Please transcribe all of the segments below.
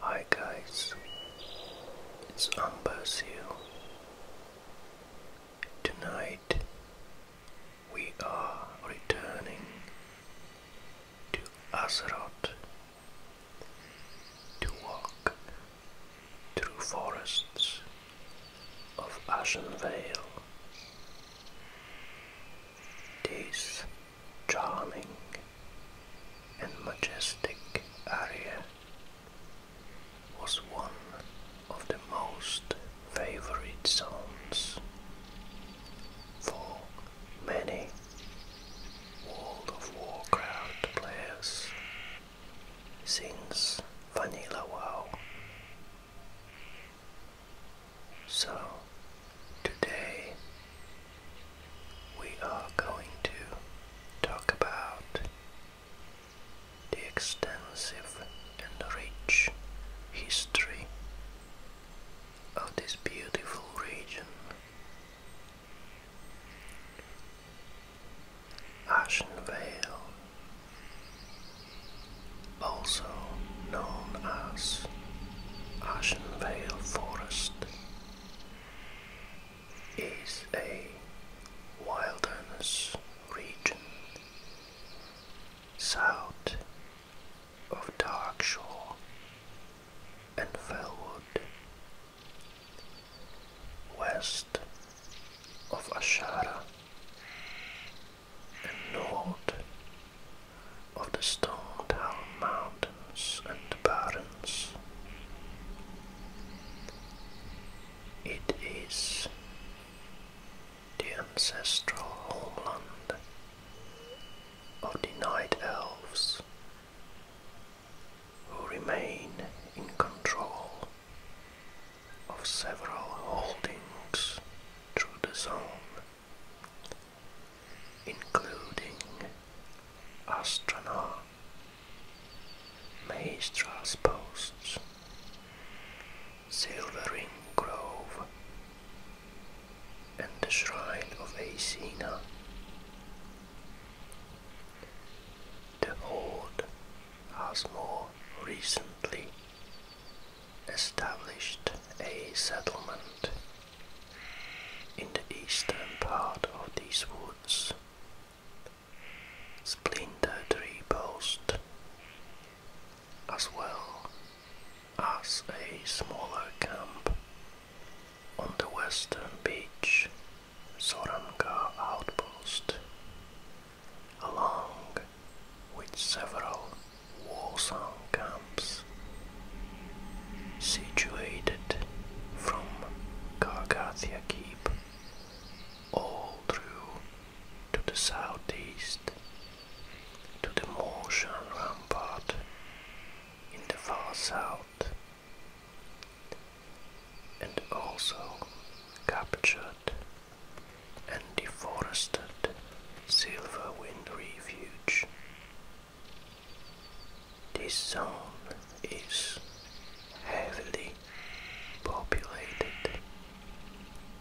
Hi guys, it's Amber's Seal. Tonight we are returning to Azeroth to walk through forests of ashen vale. This charming and majestic area was one of the most favorite zones for many World of Warcraft players since Vanilla Wow. So today we are going to talk about the extensive and rich history of this beautiful region Ashen Vale, also known as Ashen Vale Forest, is a wilderness region south of Darkshore and Fellwood west of Ashara and north of the Stone Town Mountains and the Barrens. It is the ancestral homeland of the Night Elves who remain in control of several holdings through the zone, including Astrana, Maestras posts, Silvering Grove, and the Shrine of Acina. The Horde has more recently established a settlement in the eastern part of these woods. Splinter Splintered Post, as well as a smaller camp on the western beach Soranka outpost, along with several Wasan camps situated from Kargathia Keep all through to the southeast to the Motion Rampart in the far south and also captured and deforested Silver Wind Refuge. This zone is heavily populated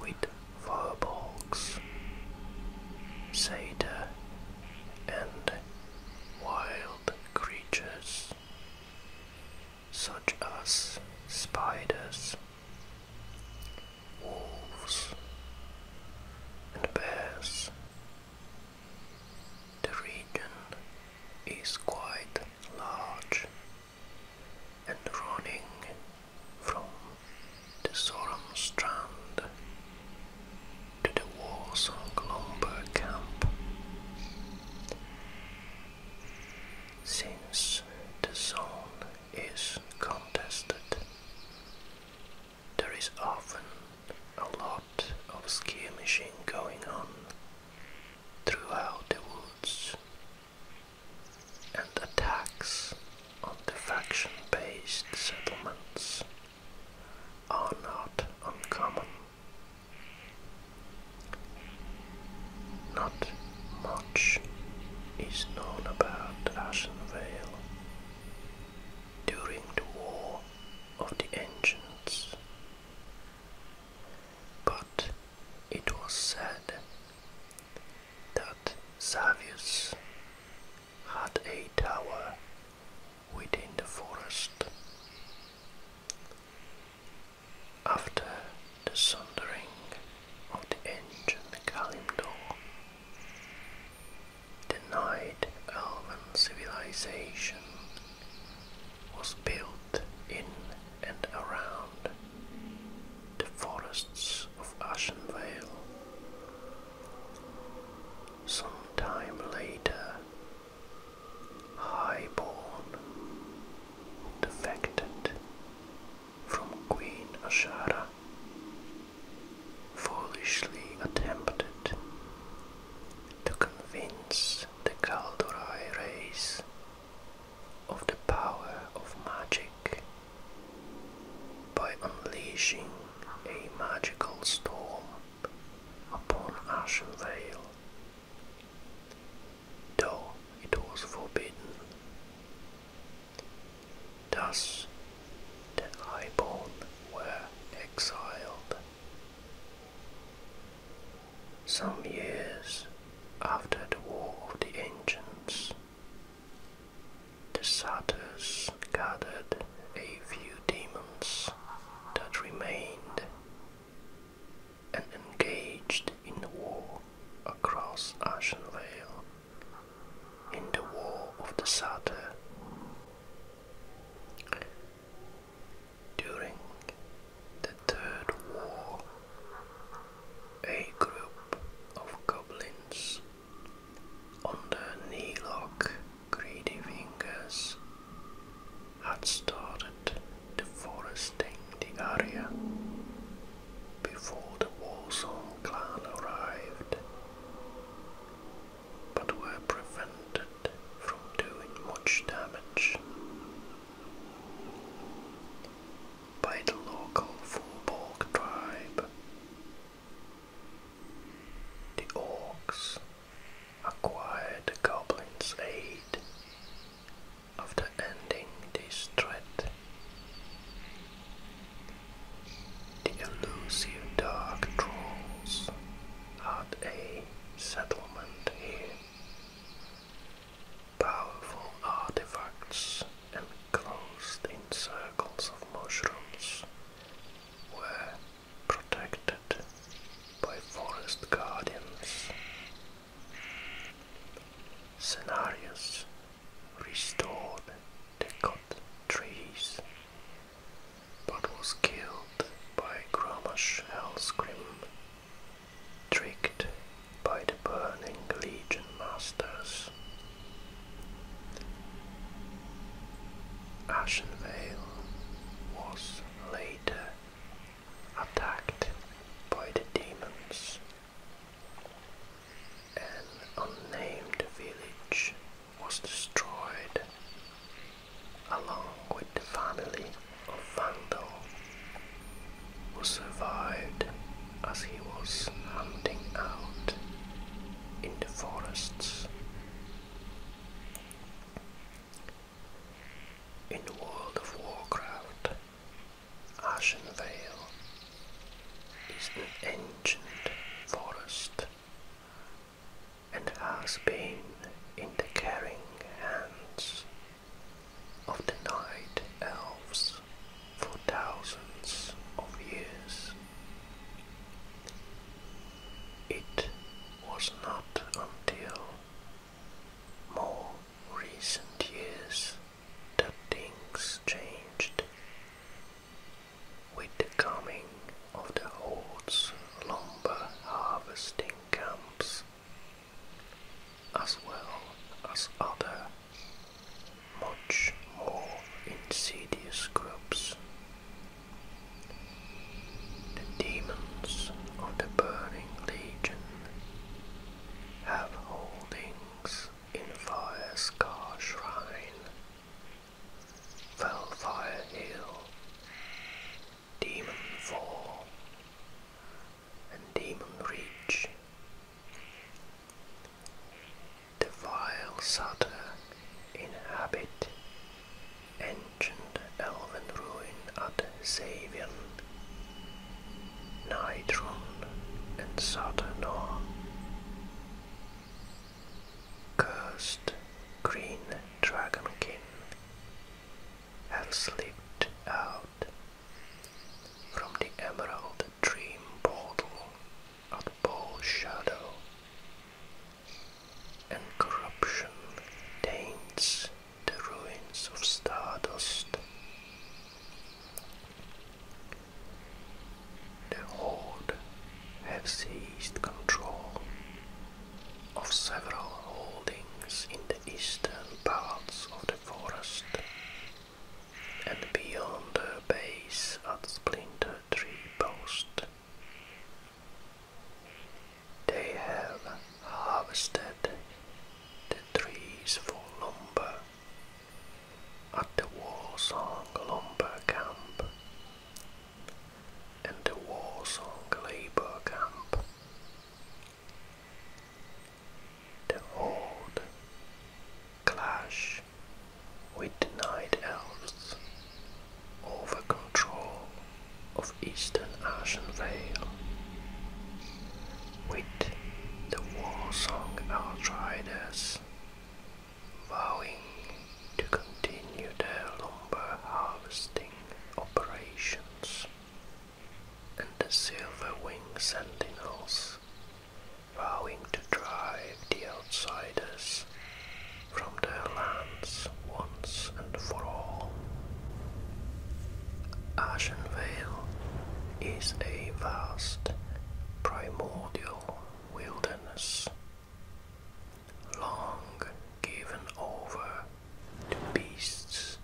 with firbolgs, sada, and wild creatures such as spiders, wolves, and bears. The region is quite large and running from the Strand to the Warsaw lumber camp since the zone is contested, there is often a lot of skirmishing going on throughout the woods and attacks on the faction based settlements are not uncommon. Not much is known about Ashenvale. During the War of the Ancients, but it was said that Savius had a tower within the forest. After the sundering of the ancient Kalimdor, the Night Elven civilization was built in and around the forests of Ashen Vale. Some time later, highborn, defected from Queen Ashara, foolishly attempted to convince the Kaldurai race of the power of magic by unleashing a magical storm upon Ashen Vale though it was forbidden. Thus the highborn were exiled. Some years after the War of the Ancients, the satyrs gathered a few demons that remained and engaged in the war across Ashen Vale. in the War of the Satyr. During the Third War, a group of goblins under Nilok Greedy had started deforesting the area before the Warsaw clan arrived, but were prevented from doing much damage by the local Fulborg tribe. The orcs Acquired the goblin's aid after ending this threat. The elusive dark trolls had a settlement here. Powerful artifacts enclosed in circles of mushrooms were protected protected by forest guardians. Scenarios restored the cut trees, but was killed by Gramash Hellscrim, tricked by the burning Legion masters. Ashenvale was later attacked by the demons. An unnamed village was destroyed along with the family of Vandal who survived as he was hunting out in the forests. In the World of Warcraft, Ashen Vale is an ancient forest and has been in the caring hands of the night elves for thousands of years. It was not until more recent years the things changed with the coming of the hordes lumber harvesting camps as well as other much more insidious groups the demons of the burning legion have holdings in Fire Scar Shrine, Fellfire Hill, Demon and Demon The vile Satyr inhabit ancient elven ruin at Savian, Nidron and Saturnor. Cursed green dragonkin have slipped out from the emerald dream portal at Bow Shadow, and corruption taints the ruins of Stardust. The Horde have seized control of several holdings in the eastern parts of the forest and beyond their base at Splinter Tree Post. They have harvested the trees for lumber at the Warsong Lumber Camp and the Warsong Labour Camp. The horde clash with the night elves over control of Eastern Vale, With the war song Outriders, vowing to continue their lumber harvesting operations, and the Silver Wing Sentinels, vowing to drive the outsiders from their land once and for all. Ashen Vale is a vast primordial wilderness, long given over to beasts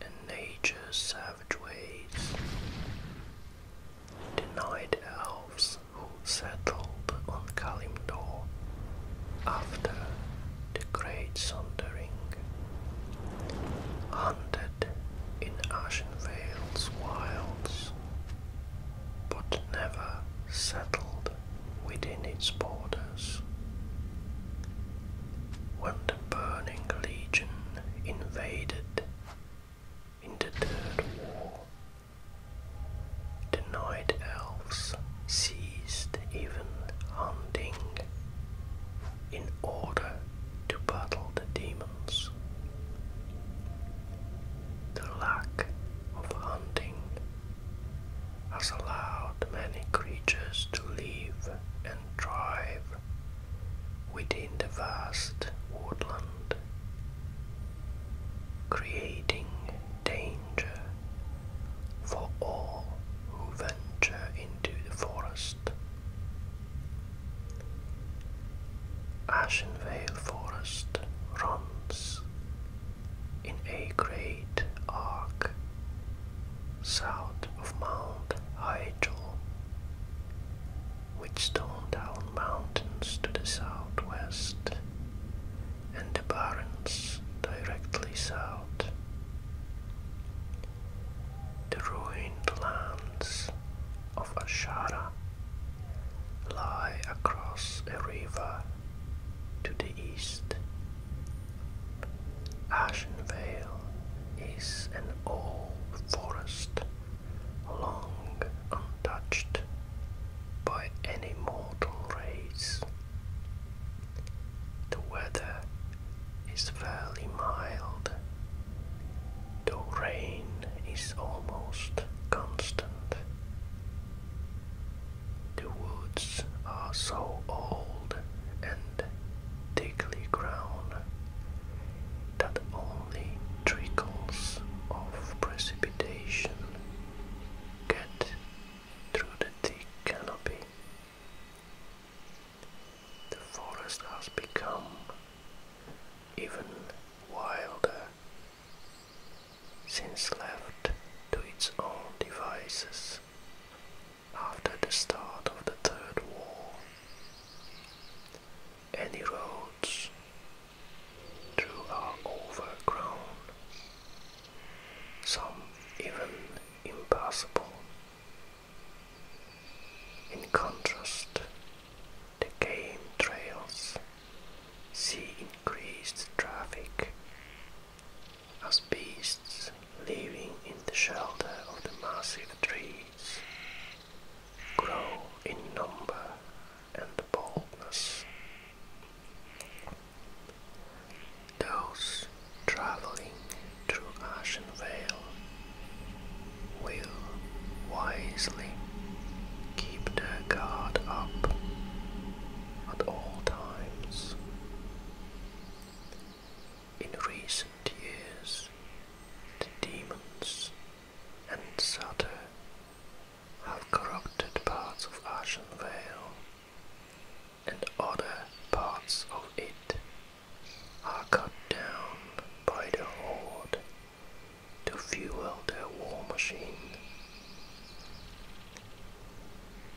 and nature's savage ways. Denied elves who settled on Kalimdor after the great Sondering, hunted in ashen vales wilds, but never settled within its borders. When the Burning Legion invaded in the Third War, the Night Elves ceased even hunting in order to battle the demons. The lack of hunting has allowed many creatures to live and thrive within the vast woodland, creating dangerous for all who venture into the forest. Vale Forest runs in a great arc south of Mount Hyjal, which Stone Down Mountains to the southwest and the Barrens directly south the ruined lands of Ashara lie across a river to the east. Ashen Vale is an old forest, long untouched by any mortal race. The weather is fairly mild, though rain is almost constant. The woods are so old and thickly grown that only trickles of precipitation get through the thick canopy. The forest has become even wilder since left to its own devices after the start of the Third War. Any roads through are overgrown, some even impossible. In contrast, the game trails see increased traffic as beasts living in the shelter of the massive trees grow in number and boldness. Those traveling through Ashen Vale will wisely keep their guard up at all times. In recent years, the demons and Satyr have corrupted parts of Ashen Vale and other parts of it are cut down by the horde to fuel their war machine.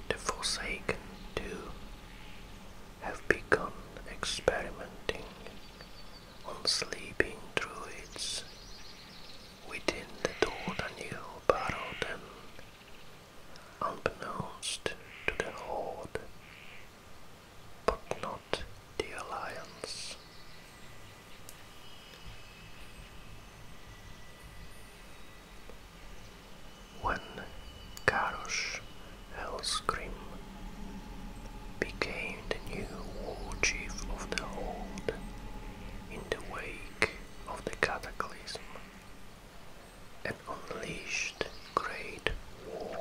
The Forsaken, too, have begun experimenting on sleeping druids within the Dota New Barrow unbeknownst to the Horde, but not the Alliance. When Karosh Hellscream became the new war chief of the Horde in the wake of the Cataclysm, and unleashed great war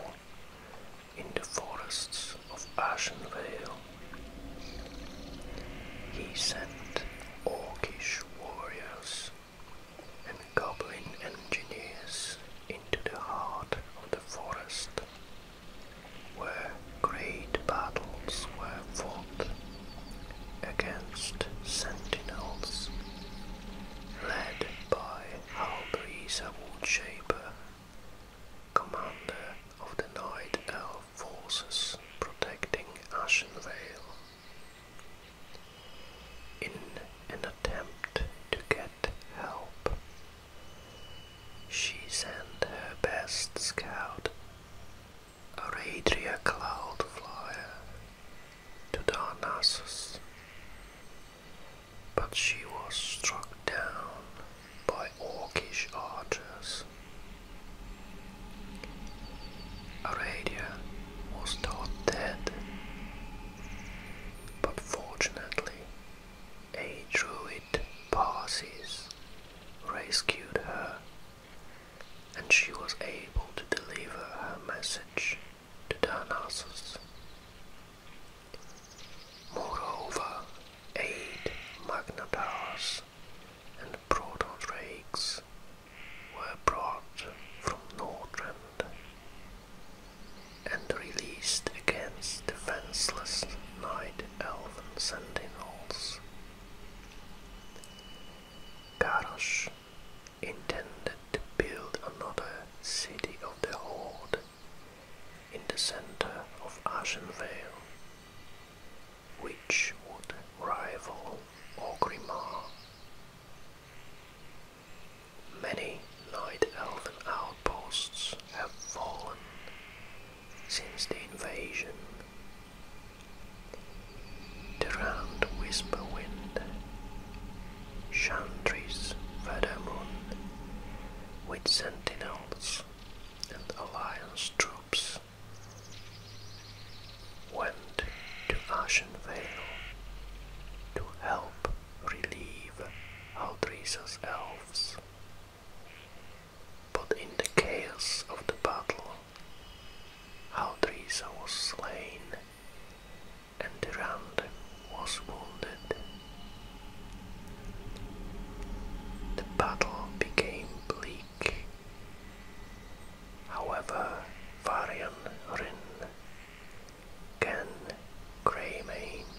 in the forests of Ashen Vale. He sent orcish warriors and goblin engineers into the heart of the forest, where great battles were fought against sentinels, led by Halbreeze Woodshaper, commander of the Night Elf forces protecting Ashenvale. In an attempt to get help, she sent her best scout, a Radria Cloudflyer, to Dionysus, but she was struck down by Orcish archers. Aradia was thought dead, but fortunately a druid Parsis rescued her and she was able to deliver her message. The Dionysus. Moreover, eight magnetars and proton rakes were brought from Nordrand and released against defenseless night elven sentinels. Garrosh intended to build another city of the Horde in the center of Ashenvale, which would rival Orgrimmar. Many Night Elven outposts have fallen since the invasion, the round whisper wind, Chantry's feather moon, with sentinels and alliance troops, went to Ashenvale to help relieve Aldrisa's elves. But in the chaos of the battle, Aldrisa was slain and Durand was wounded. The battle became bleak. However, Varian Rin, Ken Greymane,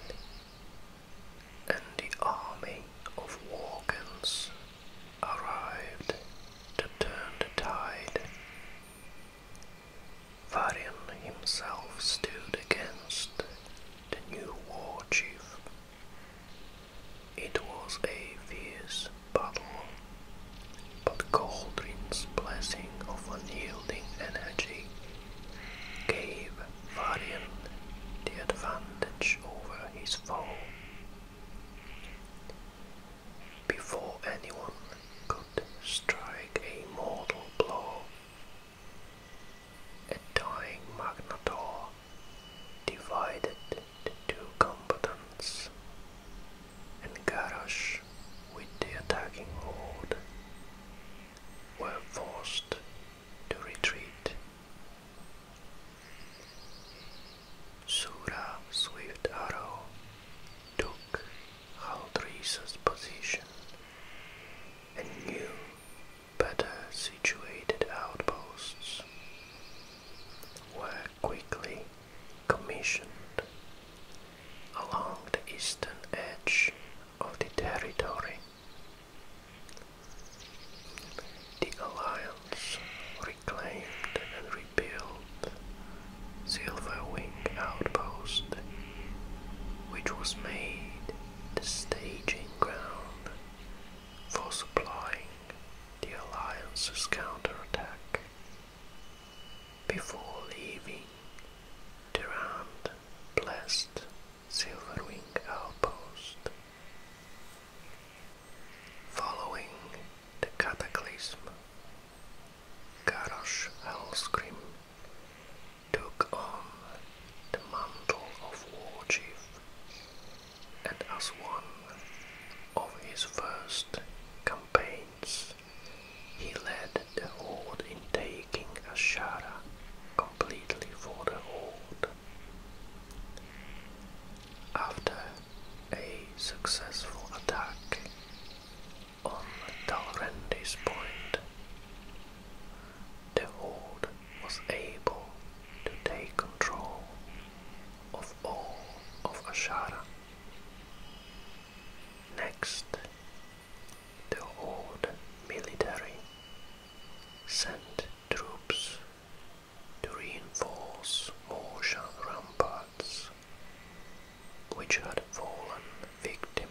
and the army of Walkens arrived to turn the tide Varian himself stood against the new war chief. It was a fierce battle, but Goldrin's blessing of unyielding energy gave Varian the advantage over his foe before anyone could strike a mortal blow. A dying Magnator divided the two combatants, and Garrosh with the attacking horde were forced to retreat. Sura Swift Arrow took Haldrisa's position, and new, better situated outposts were quickly commissioned along the eastern edge of the territory. The alliance reclaimed and rebuilt Silver Wing Outpost, which was made the staging ground for supplying the Alliance's counterattack. Before leaving, Durand blessed Silverwing Outpost. Following the cataclysm, Garrosh Hellscream took on the mantle of war chief, and as one of his first campaigns, he led the Horde in taking Ashara completely for the Horde. After a successful attack on Dalrendi's point. The old was able to take control of all of Ashara. Next, the old military sent troops to reinforce Morshan ramparts which had fallen victim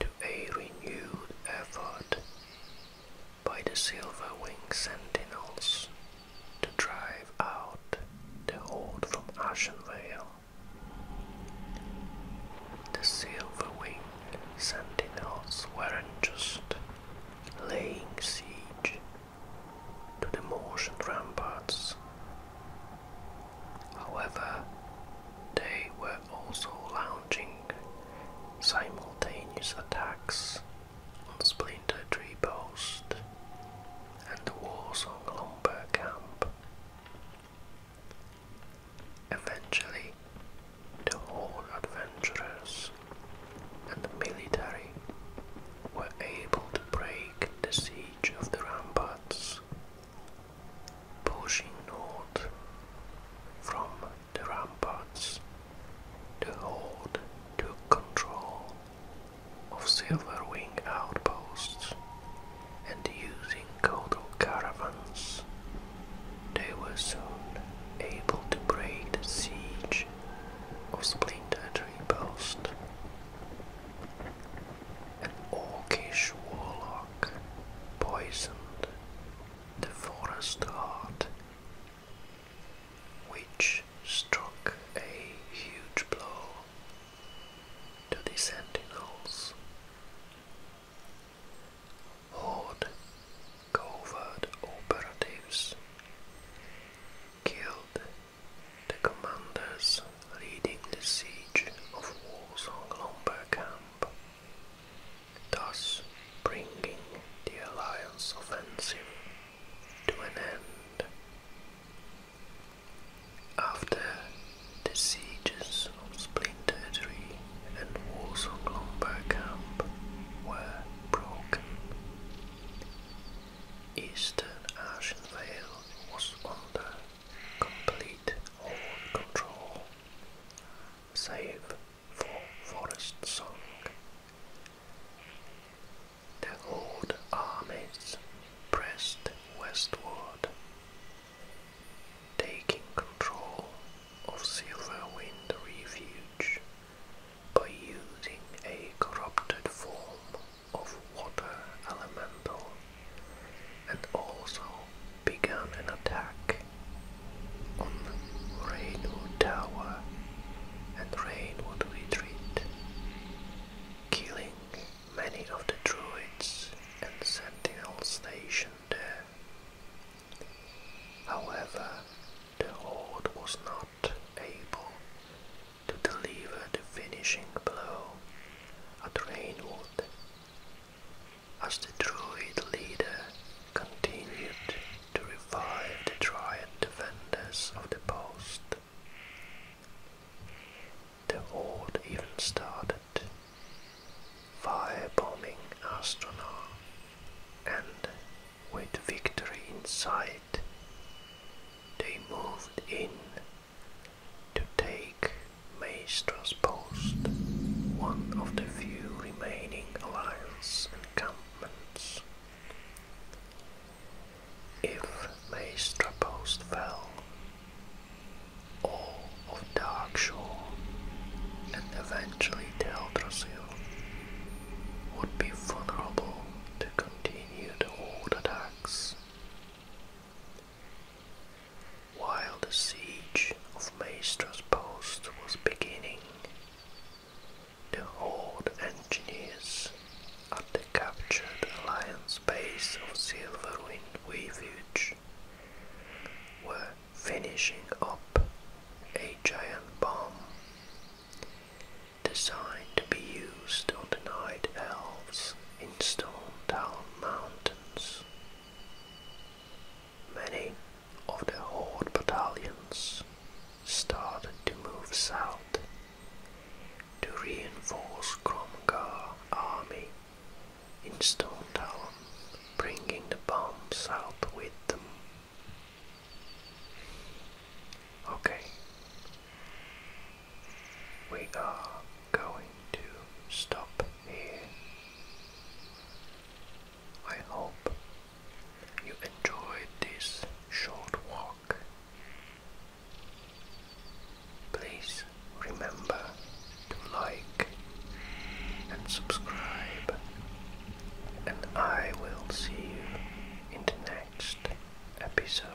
to a renewed effort by the Silver Wing Sentinels to drive out the Horde from Ashenvale. The Silver Wing Sentinels weren't just laying siege to the Moorish ramparts. However, they were also launching simultaneous attacks on Splinter Tree Post and the war song Lumber Camp. Eventually, the whole adventurers and the military were able to break the siege of the ramparts, pushing north from the ramparts, the Horde took control of Silverwing outposts and using Kodo caravans, they were soon able to break the siege of Splinter Tree Post. An orcish warlock poisoned the forest heart, which struck a huge blow to the sentinels. Horde covert operatives killed the commanders leading the siege of Walsong-Lomber camp, thus bringing the alliance offensive to an end. After the sieges of Splintered Tree and Walsong-Lomber camp were broken, Eastern Ashenvale was under complete all control, save for Forest Song. The old armies pressed westward, taking control of Silver Wind Refuge by using a corrupted form of water elemental and also began an attack on Rainwood Tower and Rainwood Retreat, killing many of the druids and sentinels stationed there. However, the Horde was not able to deliver the finishing blow at Rainwood. As the Druid leader continued to revive the triad defenders of the post, the old even started firebombing Astronar, and with victory in sight, they moved in to take Maestra's post, one of the few remaining Alliance encampments. If Maestra post fell, all of Darkshore and eventually Teldrassil would be vulnerable to continued old attacks. While the siege of Maestra's post was beginning, the old engineers at the captured Alliance base of Silverwind Weavage were finishing up a giant bomb designed to be used on the Night Elves in Stonetown Mountains. Many of the Horde battalions started to move south to reinforce Kromgar army in Stonetown, bringing the bombs south with them. Okay, we are going to stop here. I hope you enjoyed this short walk. Please remember to like and subscribe, and I will see you in the next episode.